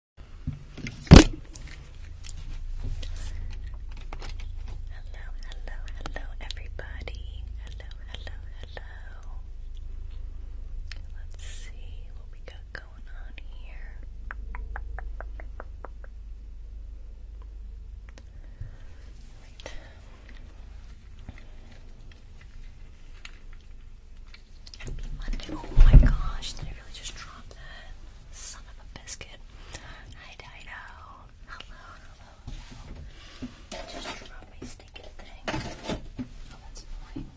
Hello, hello, hello, everybody. Hello, hello, hello. Let's see what we got going on here. Happy Monday. Oh my gosh, did I really just drop that? Son of a biscuit. Hi, Dino. Hello, hello, just dropped my stinking thing. Oh, that's annoying.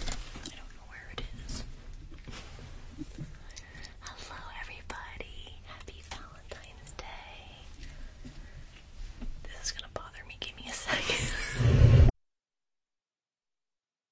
I don't know where it is. Hello, everybody. Happy Valentine's Day. This is gonna bother me. Give me a second.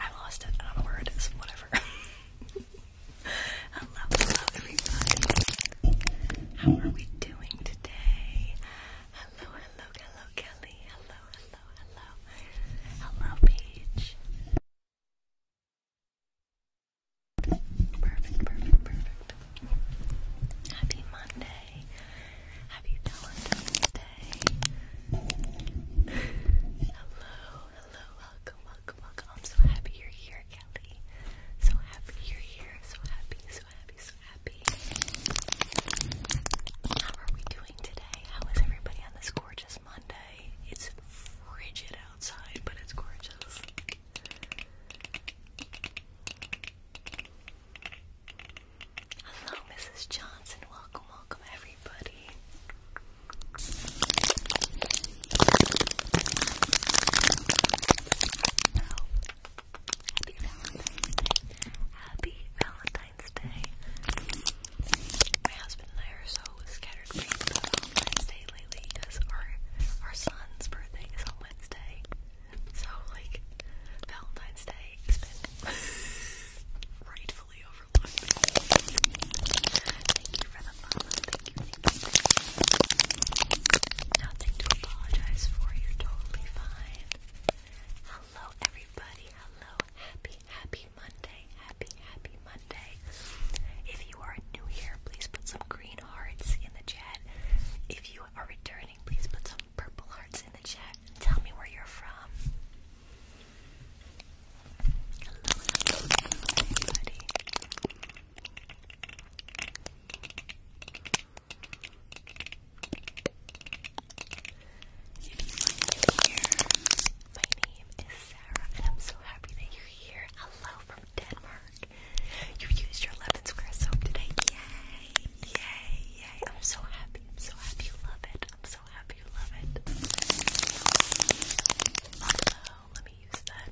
I lost it. I don't know where it is. Whatever. hello, hello, everybody. How are we doing today? Hello, hello, hello, Kelly. Hello, hello, hello. Hello, Paige. Perfect, perfect, perfect. Happy Monday. Happy Valentine's Day. hello, hello, welcome, welcome, welcome. I'm so happy you're here, Kelly. So happy you're here. So happy, so happy, so How are we doing today? How is everybody on this gorgeous Monday? It's frigid outside, but it's gorgeous. Hello, Mrs. Johnson. Welcome, welcome, everybody. Happy Valentine's Day. Happy Valentine's Day. My husband and I scattered brains Valentine's Day lately because our our son's birthday is on Wednesday. So like Valentine's Day has been rightfully overlooked. Thank you for the follow. Nothing to apologize for. You're totally fine. Hello, everybody. Hello. Happy, happy Monday. Happy, happy Monday. If you are new here, please put some green hearts in the chat. If you are returning, please put some purple hearts in the chat. tell me where you're from. If you are new here, my name is Sarah, and I'm so happy that you're here. Hello from Denmark. You used your 11 square soap today. Yay! Yay! Yay! I'm so happy. so happy you love it. I'm so happy you love it. Hello. Let me use that.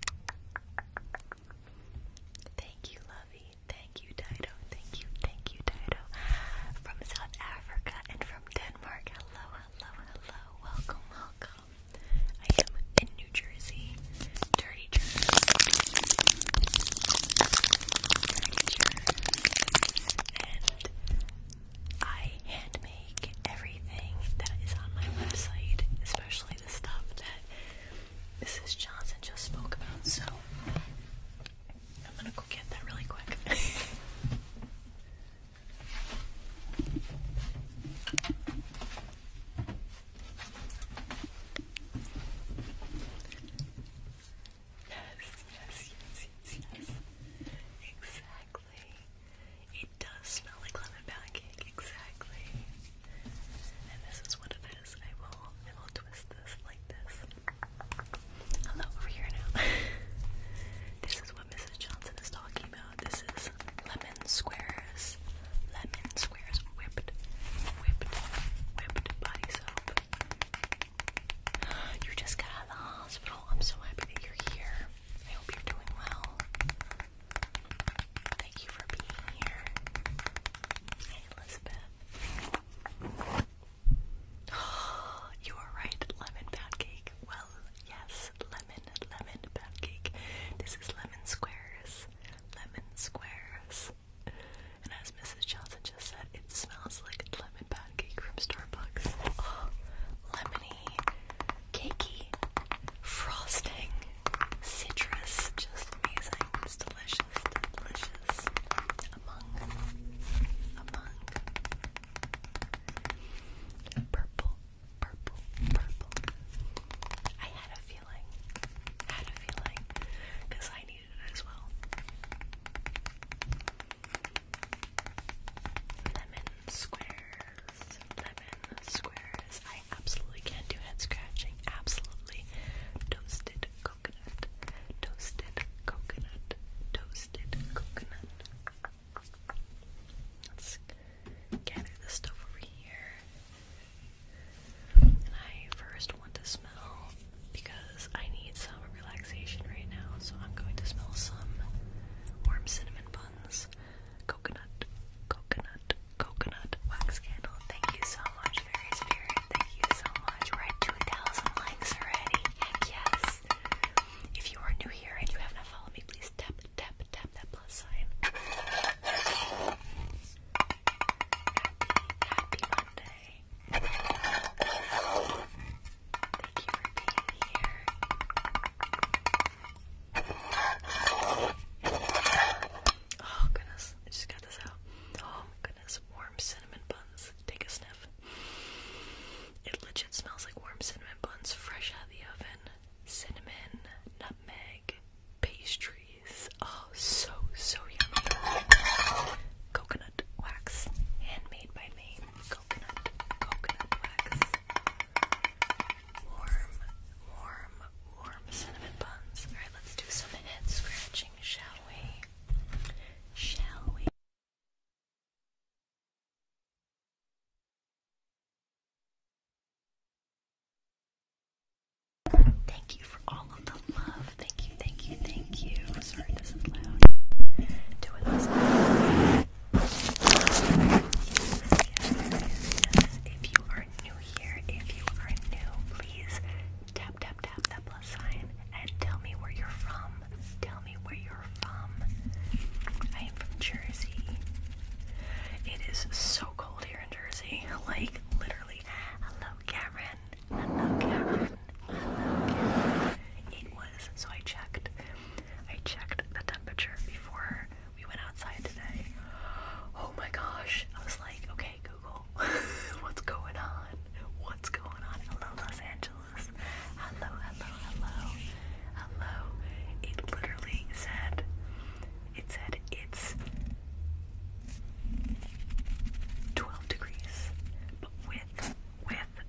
Thank you, lovey. Thank you, Tito. Thank you, thank you, Dido. From South Africa and from Denmark. Hello, hello, hello. Welcome, welcome. I am in New Jersey. Dirty Jersey. And I hand everything that is on my website, especially the stuff that Mrs. Johnson just spoke about. So I'm gonna go get that really quick. yes, yes, yes, yes, yes. Exactly. It does smell like lemon pound cake, exactly. And this is what it this Hello, over here now. this is what Mrs. Johnson is talking about. This is lemon squares. Lemon squares whipped, whipped, whipped body soap. You just got out of the hospital. I'm so happy that you're here. I hope you're doing well. Thank you for being here. Hey, Elizabeth. you are right, lemon pancake. Well, yes, lemon, lemon pancake. This is lemon squares, lemon squares. And as Mrs. Johnson just said, it smells like a lemon pancake from Starbucks. Oh, lemony, cakey, frosting, citrus, just amazing. It's delicious, delicious. Among, among. Purple, purple, purple. I had a feeling, had a feeling, because I needed it as well. Lemon squares, lemon squares. I absolutely can't do head scratching. Absolutely toasted coconut, toasted coconut, toasted coconut. Let's gather the stuff over here. And I first want to smell because I need some relaxation right now, so I'm going to smell some warm cinnamon buns, coconut, coconut, coconut wax candle. Thank you so much, very spirit. Thank you so much. We're at 2,000 likes already. yes. If you are new here and you have not followed me, please tap, tap, tap that plus sign. Happy, Monday. Thank you for being here. Oh goodness, I just got this out. Oh warm cinnamon buns. Take a sniff. It legit smells like warm cinnamon buns fresh out of the oven. Cinnamon, nutmeg, pastries. Oh, so, so yummy. Coconut wax. Handmade by me. Coconut, coconut wax. Warm, warm, warm cinnamon buns. Alright, let's do some head scratching, shall we? shall we? Thank you for all of the love. Thank you, thank you, thank you. Sorry, this is loud. Doing this. yes, yes, yes. If you are new here, if you are new, please Tap, tap, tap that plus sign and tell me where you're from. Tell me where you're from. I am from Jersey. It is so cold here in Jersey. Like, literally. Hello, Karen. Hello, Karen. Hello, Karen. It was, so I checked. I checked the temperature before we went outside today. Oh my gosh. I was like, okay, go What's going on? What's going on? in Los Angeles. Hello, hello, hello. Hello. It literally said, it said it's 12 degrees, but with, with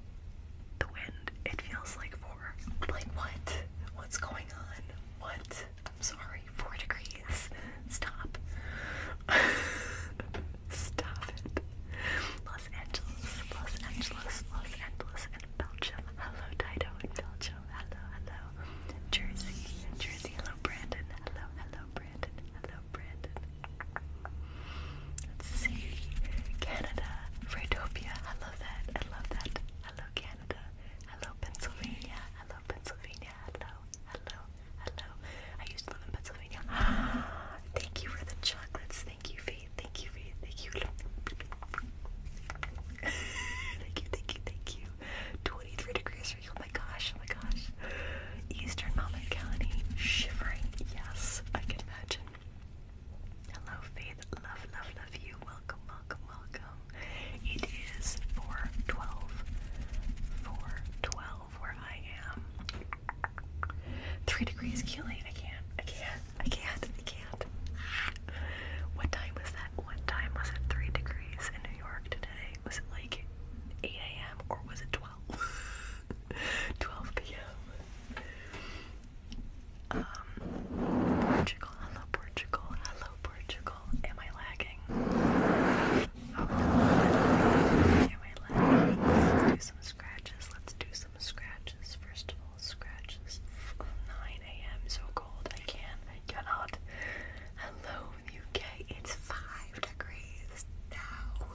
the wind, it feels like four. Like what? What's going on? What? I'm sorry, four degrees. Stop. Stop it. Los Angeles, Los Angeles, Los Angeles, and Belgium. Hello, Dido in Belgium. Hello, hello. Jersey, Jersey. Hello, Brandon. Hello, hello, Brandon. Hello, Brandon. Let's see. Canada, Fredopia. I love that. I love that. Hello, Canada. Hello, Pennsylvania. Hello, Pennsylvania. Hello, hello. Hello. I used to live in Pennsylvania. thank you for the chocolates. Thank you, Faith. Thank you, Faith. Thank you. thank you, thank you, thank you. 23 degrees Oh my gosh, oh my gosh. Eastern Mountain Shivering. Yes, I can imagine. Hello, Faith. Love, love, love you. Welcome, welcome, welcome. It is 412. 412 where I am. Three degrees killing! I can't. I can't. I can't. I can't. What time was that? What time was it? Three degrees in New York today. Was it like 8 a.m. or was it 12? 12 p.m. Um, Portugal. Hello, Portugal. Hello, Portugal. Am I lagging? i Let's do some scratches. Let's do some scratches. First of all, scratches. 9 a.m. So cold. I can't. I cannot. Hello, UK. It's 5 degrees now.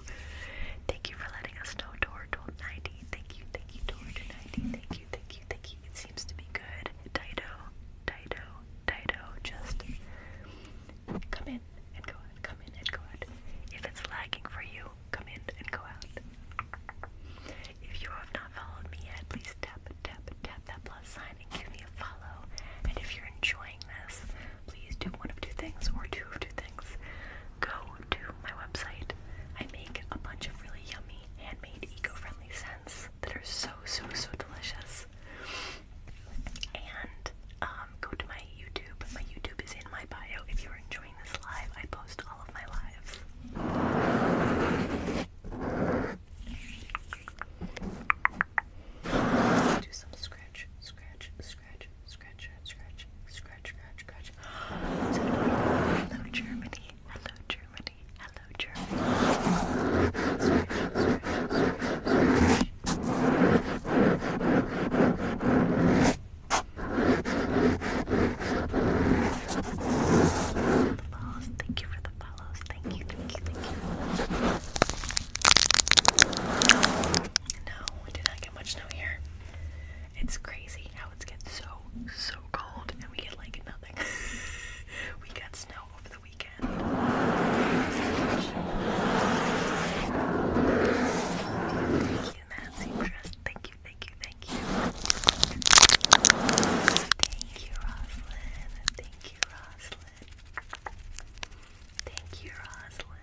Thank you for letting us know, Dortle90. Thank you, thank you, Dortle90. Thank you, thank you, thank you. It seems to be good. Dido, Dido, Dido. Just come in and go out come in and go out. If it's lagging for you, come in and go out. If you have not followed me yet, please tap, tap, tap that plus sign and give me a follow. And if you're enjoying this, please do one of two things or two of two things. Go to my website. I make a bunch of really yummy, handmade, eco-friendly scents that are so, so, so delicious and um, go to my YouTube. My YouTube is in my bio. If you're enjoying this live, I post all of my lives. Do some scratch, scratch, scratch, scratch, scratch, scratch, scratch, scratch. Hello Germany. Hello Germany. Hello Germany follows. Thank you for the follows. Thank you, thank you, thank you. No, we did not get much snow here. It's crazy how it's getting so, so cold and we get like nothing. we got snow over the weekend. Thank you, Nancy Press. Thank you, thank you, thank you. Thank you, Roslyn. Thank you, Roslyn. Thank you,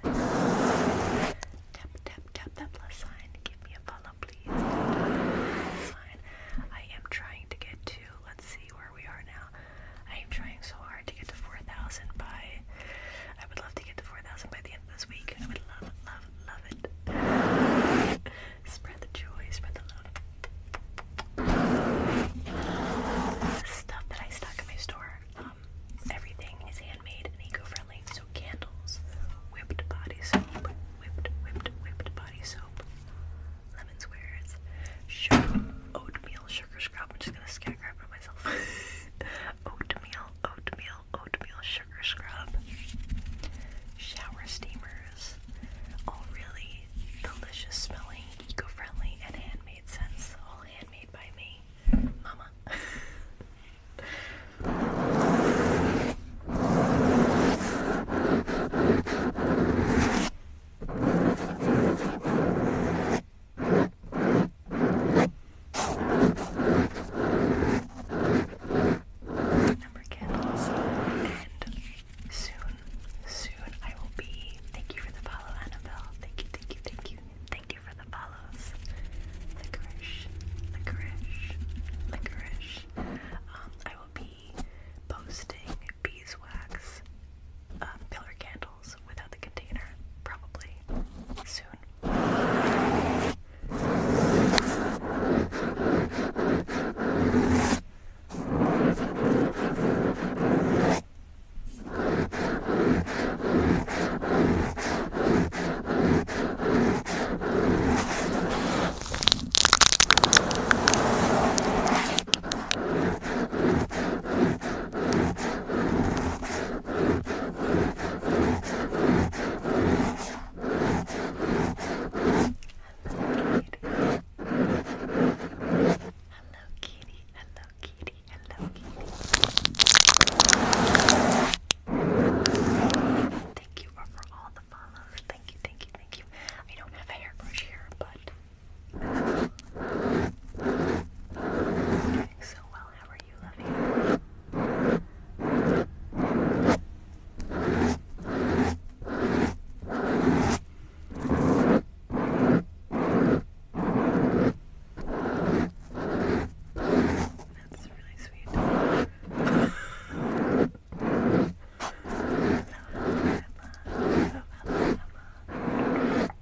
Roslyn. Tap, tap, tap that plus sign. Give me a follow, please. I am trying to get to, let's see where we are now. I am trying so hard to get to 4,000 by I would love to get to 4,000 by the end of this week. I would love, love, love it. Spread the joy, spread the love. stuff that I stock in my store, um, everything is handmade and eco-friendly. So candles, whipped body soap, whipped, whipped, whipped body soap, lemon squares, oatmeal sugar scrub. I'm just gonna scarecrap myself. oatmeal, oatmeal, oatmeal, sugar scrub, shower steamers. All really delicious smelling, eco-friendly, and handmade scents. All handmade by me, Mama. Number candles. And soon, soon I will be. Thank you for the follow, Annabelle. Thank you, thank you, thank you. Thank you for the follows. Licorice, licorice, licorice. Um, I will be posting beeswax uh, pillar candles bottles without the container, probably soon. Hello kitty, hello kitty, hello kitty. Thank you for all the follows. Thank you, thank you, thank you. I don't have a hairbrush here, but I'm doing so well. How for you. Love you. That's really sweet. Hello, hello, hello.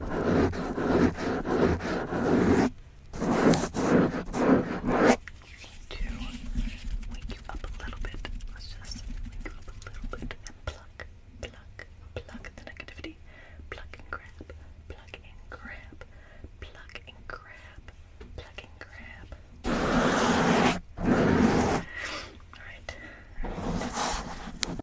To wake you up a little bit. Let's just wake you up a little bit and pluck, pluck, pluck the negativity. Pluck and grab, pluck and grab, pluck and grab, pluck and grab. Alright. All right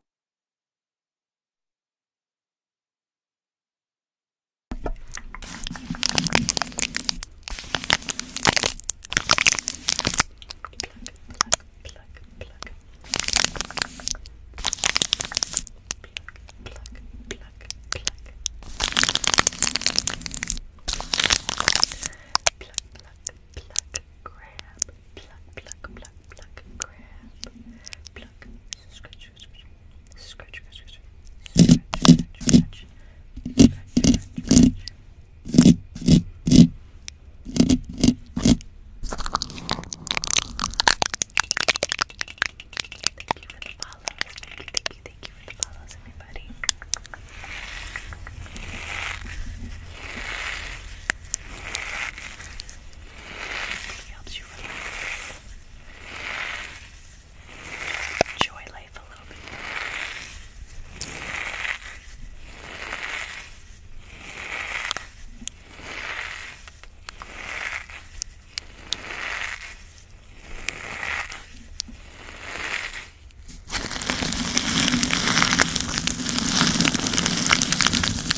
grab pluck, pluck, pluck, pluck, grab, pluck, scratch, scratch, scratch, scratch, scratch, scratch, scratch, scratch, scratch, Thank you for the follows. Thank you, thank you, thank you for the everybody. It helps you relax. Enjoy life a little bit more.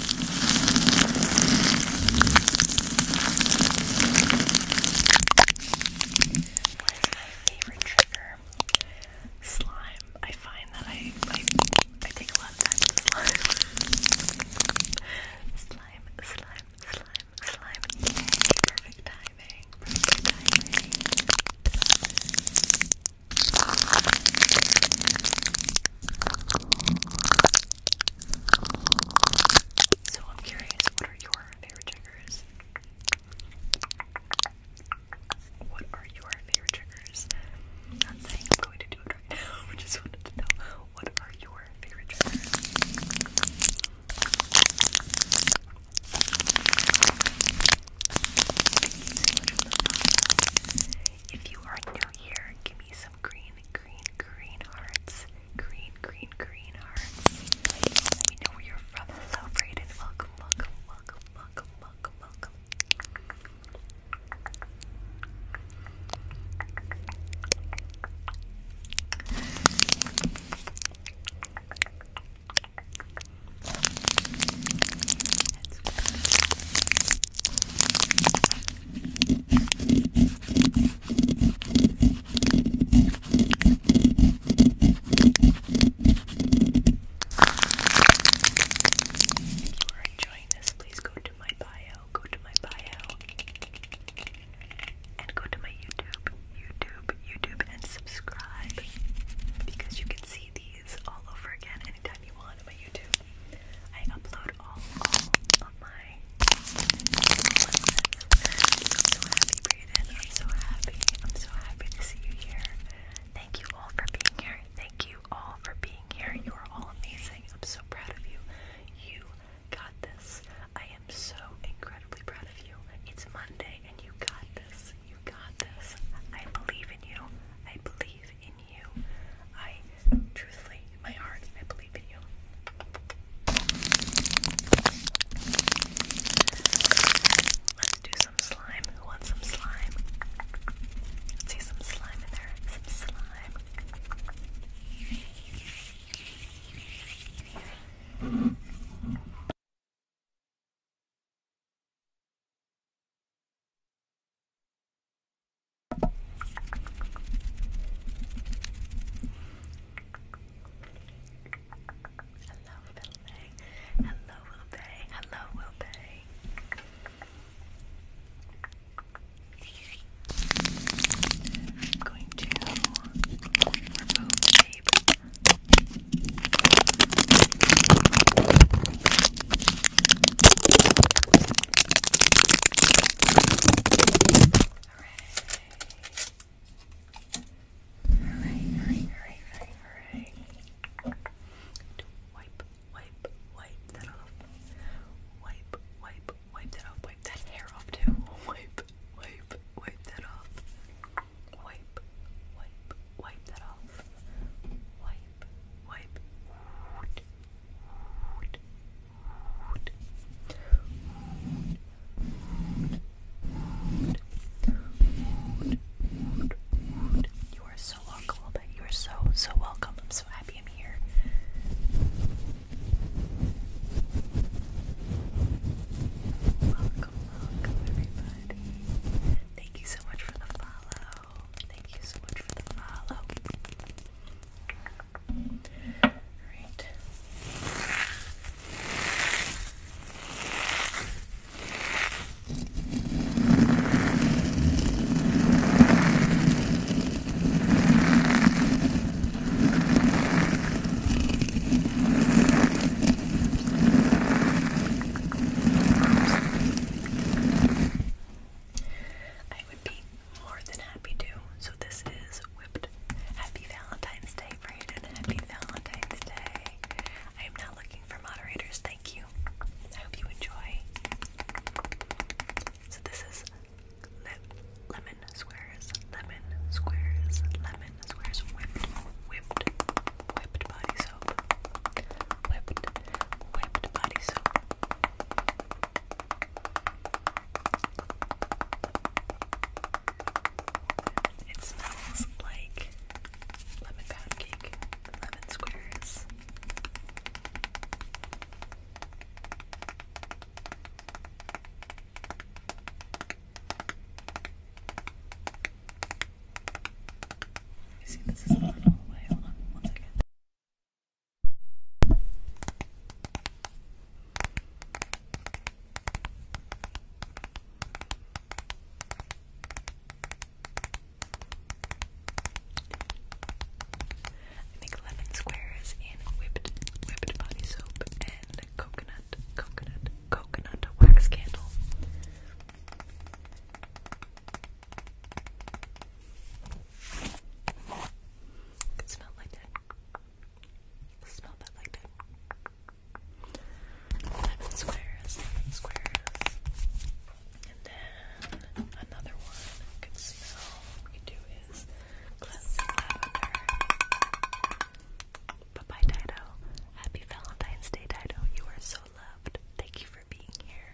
What is my favorite trigger? Slime. I find that I I, I take a lot of time with slime. slime, slime, slime, slime. Yay, perfect timing. Perfect timing. So I'm curious, what are your favorite triggers? What are your favorite triggers? not saying I'm going to do it right now, I just wanted to know what are your favorite triggers? If you are new here, give me some green, green, green hearts. Green, green, green hearts. Let me know where you're from. Hello, Brayden. Welcome, welcome, welcome, welcome, welcome, welcome. If you are enjoying this, please go to my bio, go to my bio, and go to my YouTube, YouTube, YouTube, and subscribe because you can see these all over again anytime you want on my YouTube. I upload all, of my lessons. so happy, Brayden. I'm so happy. I'm so happy to see you here. Thank you all for being here. Thank you all for being here. You are all amazing. I'm so proud of you. You got this. I am so incredibly proud of you. It's Monday and you got this. You got this. I believe in you. I believe in you you. I truthfully, in my heart, I believe in you. Let's do some slime. Who wants some slime? see some slime in there. Some slime. Hello, Wilbay. Hello, Wilbay. Hello, Wilbay. I'm going to remove tape. Hooray, hooray, hooray, hooray, hooray. Wipe, wipe, wipe that off. Wipe, wipe, wipe that off. Wipe that hair off too. Wipe, wipe, wipe that off. Wipe, wipe, wipe that off. Wipe, wipe. You are so welcome, but you are so so welcome. I'm so happy I'm here. Welcome, welcome everybody. Thank you so much for the follow. Thank you so much for the follow. Alright would be more than happy to. So this is whipped. Happy Valentine's Day, Brandon. Happy Valentine's Day. I am not looking for moderators. Thank you. I hope you enjoy. So this is lemon squares, lemon squares, lemon squares, whipped, whipped, whipped body soap, whipped, whipped body soap. It smells like lemon pound cake lemon squares. You see, this is a little away. Hold on I make lemon squares in whipped whipped body soap and coconut coconut coconut wax candle can smell like that. Smell that like that. Lemon squares, lemon squares. And then another one can smell. What we do is cleansing lavender. Bye bye, Dido. Happy Valentine's Day, Dido. You are so loved. Thank you for being here.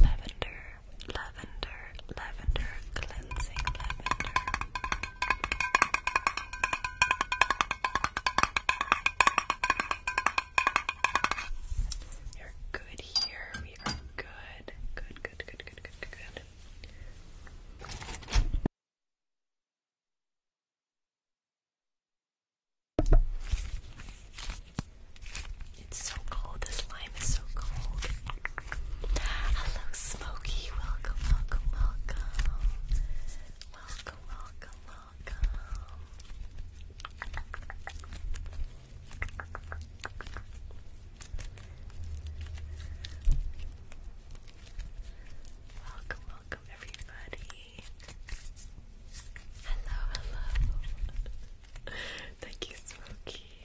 lavender, lavender, lavender, cleansing lavender. You're good here. We are good. Good, good, good, good, good, good, good. It's so cold. This lime is so cold. Hello, Smokey. Welcome, welcome, welcome. Welcome, welcome, welcome. Welcome, welcome, everybody. Hello, hello. Thank you, Smokey.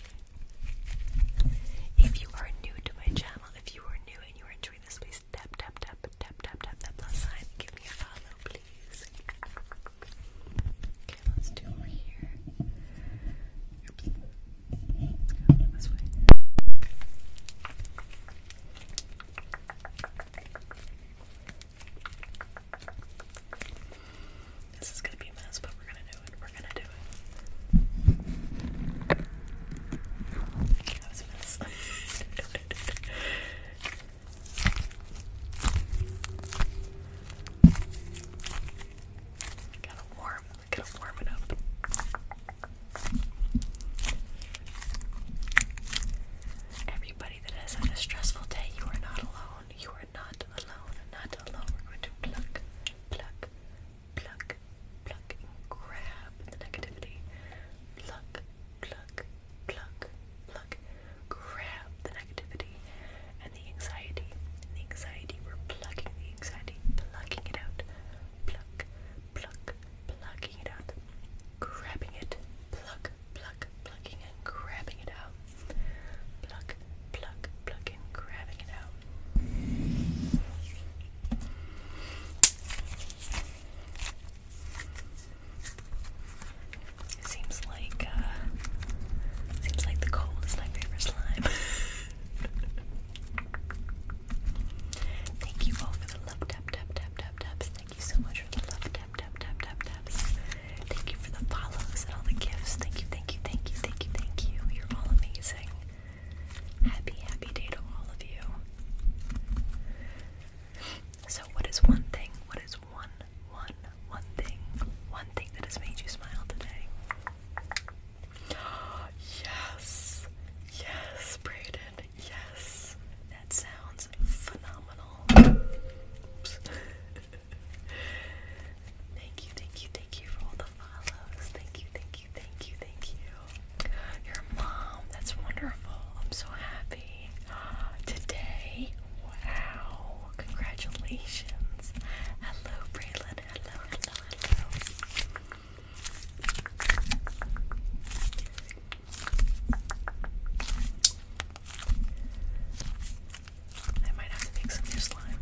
If you are new to my channel, if you are new and you are enjoying this, please tap, tap, tap, tap, tap, tap plus sign. Give me a follow, please. Okay, let's do over here. This is gonna be a mess, but we're gonna do it. We're gonna do it. That was a mess. gotta warm, gotta warm it up. Everybody that has had a stressful day, you are not alone. You are not alone. Not alone. We're going to pluck, pluck, pluck, pluck, grab the negativity. Pluck, pluck, pluck, pluck. Grab the negativity and the anxiety. the anxiety. We're plucking the anxiety, plucking it out. Pluck, pluck, plucking it out. Grabbing it. Pluck, pluck, plucking and grabbing it out. Pluck, pluck, pluck, and grabbing it out. It seems like, uh, it seems like the cold is my favorite slime. Thank you all for the love tap tap tap tap taps. Thank you so much for the love tap tap tap tap taps. Thank you for the follows and all the gifts. Thank you, thank you, thank you, thank you, thank you. You're all amazing. Happy, happy day to all of you. So, what is one thing? What is one, one, one thing? One thing that has made you smile today? Yes, yes, Brayden, yes. That sounds phenomenal. thank you, thank you, thank you for all the follows. Thank you, thank you, thank you, thank you. Your mom, that's wonderful. I'm so happy. Today, wow, congratulations. Hello, Braylon. Hello, I might have to make some new slime.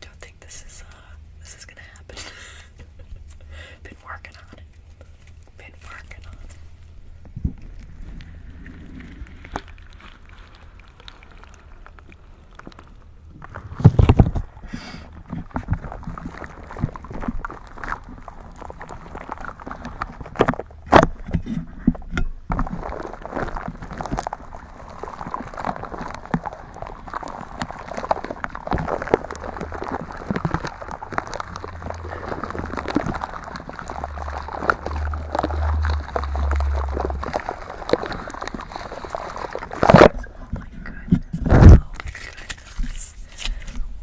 don't think this is uh this is gonna happen. Been working on it. Been working on it. Oh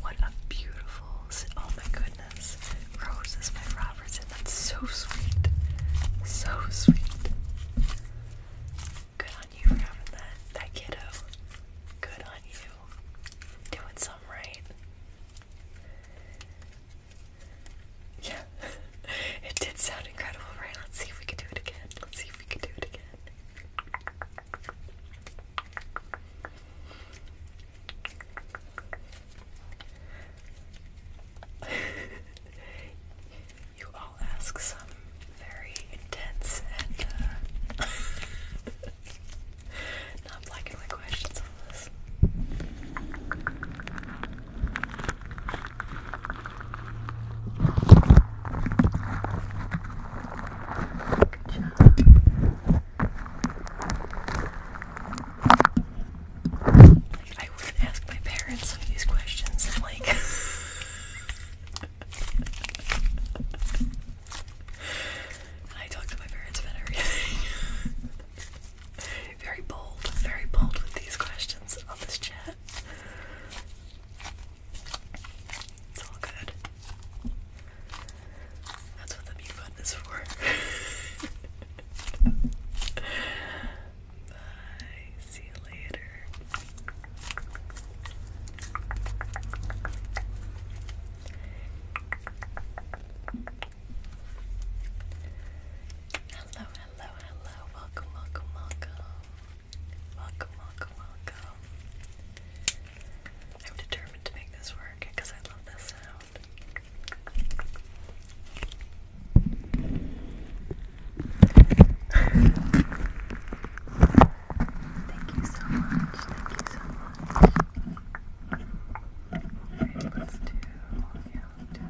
what a beautiful, oh my goodness, roses by Rob that's so sweet. So sweet. Good on you for having that, that kiddo. Good on you. Doing something right. Yeah. it did sound incredible, right? Let's see if we can do it again. Let's see if we can do it again. you all ask some very intense and uh, not black questions on this. Good job. I would ask my parents some of these questions. I'm like, I talk to my parents about everything. very bold, very bold with these questions on this chat. It's all good. That's what the mute button is for. Bye. See you later. Hello, hello, hello. Welcome, welcome, welcome. Welcome, welcome, welcome. I'm determined to make this work because I love this sound. Thank you so much. Thank you so much. Alright, let's do calendar. Thank you.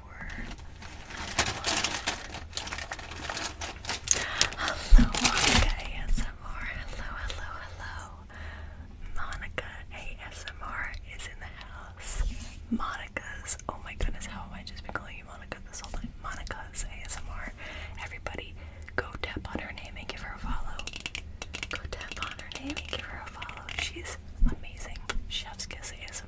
Hello Monica ASMR. Hello, hello, hello. Monica ASMR is in the house. Monica's oh my goodness, how have I just been calling you Monica this whole time? Monica's ASMR. Everybody go tap on her name and give her a follow. Go tap on her name and give her a follow. She's amazing. Chef's Kiss ASMR.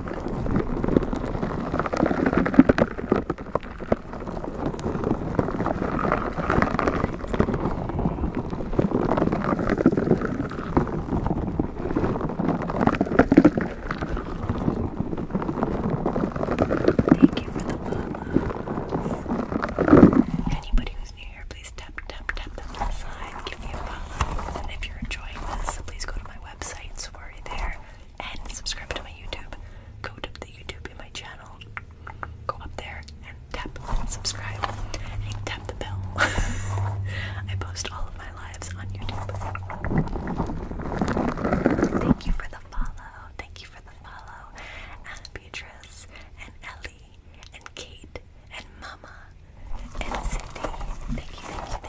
Thank you for the follows. Anybody who's new here, please tap, tap, tap, tap to the side, give me a follow. And if you're enjoying this, please go to my website, Safari there, and subscribe to my YouTube. Go to the YouTube in my channel, go up there and tap subscribe, and tap the bell. I post all of my lives on YouTube. Thank you for the follow. Thank you for the follow, and Beatrice and Ellie and Kate and Mama and Cindy. Thank you, thank you,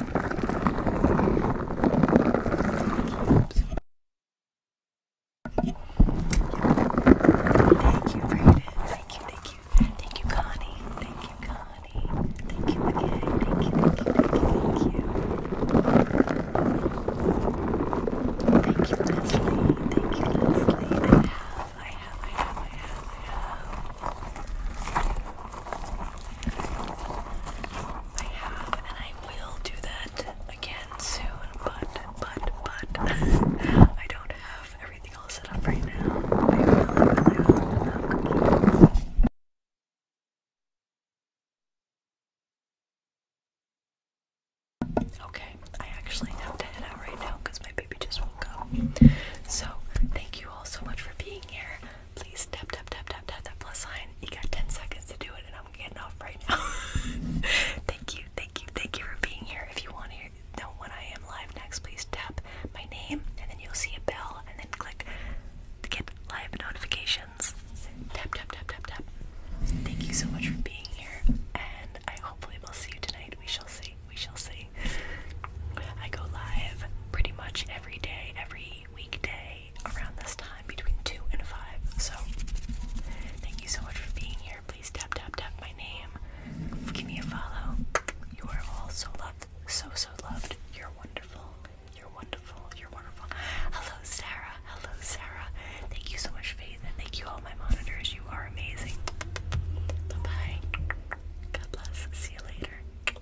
Thank you, Brayden. Thank you, thank you. Thank you, Connie. Thank you, Connie. Thank you again. Thank you, thank you, thank you, thank you. Thank you, Leslie. Thank you, Leslie. I have, I have, I have, I have, I have. I have, and I will do that again soon, but, but, but, I don't have everything all set up right now. Okay, I actually have to head out right now because my baby just woke up. So, thank you all so much for being here. Please tap, tap, tap, tap, tap that plus sign. You got 10 seconds to do it, and I'm getting off right now. thank you, thank you, thank you for being here. If you want to hear, know when I am live next, please tap my name, and then you'll see a bell, and then click to get live notifications. Tap, tap, tap, tap, tap. Thank you so much for being here, and I hopefully will see you tonight. We shall see. We shall see. I go live pretty much every day, every weekday around this time between 2 and 5. So, thank you so much for being here. Please tap, tap, tap my name. Give me a follow. You are all so loved. So, so loved. You're wonderful. You're wonderful. You're wonderful. Hello, Sarah. Hello, Sarah. Thank you so much, Faith. And thank you, all my monitors. You are amazing. Bye bye. God bless. See you later.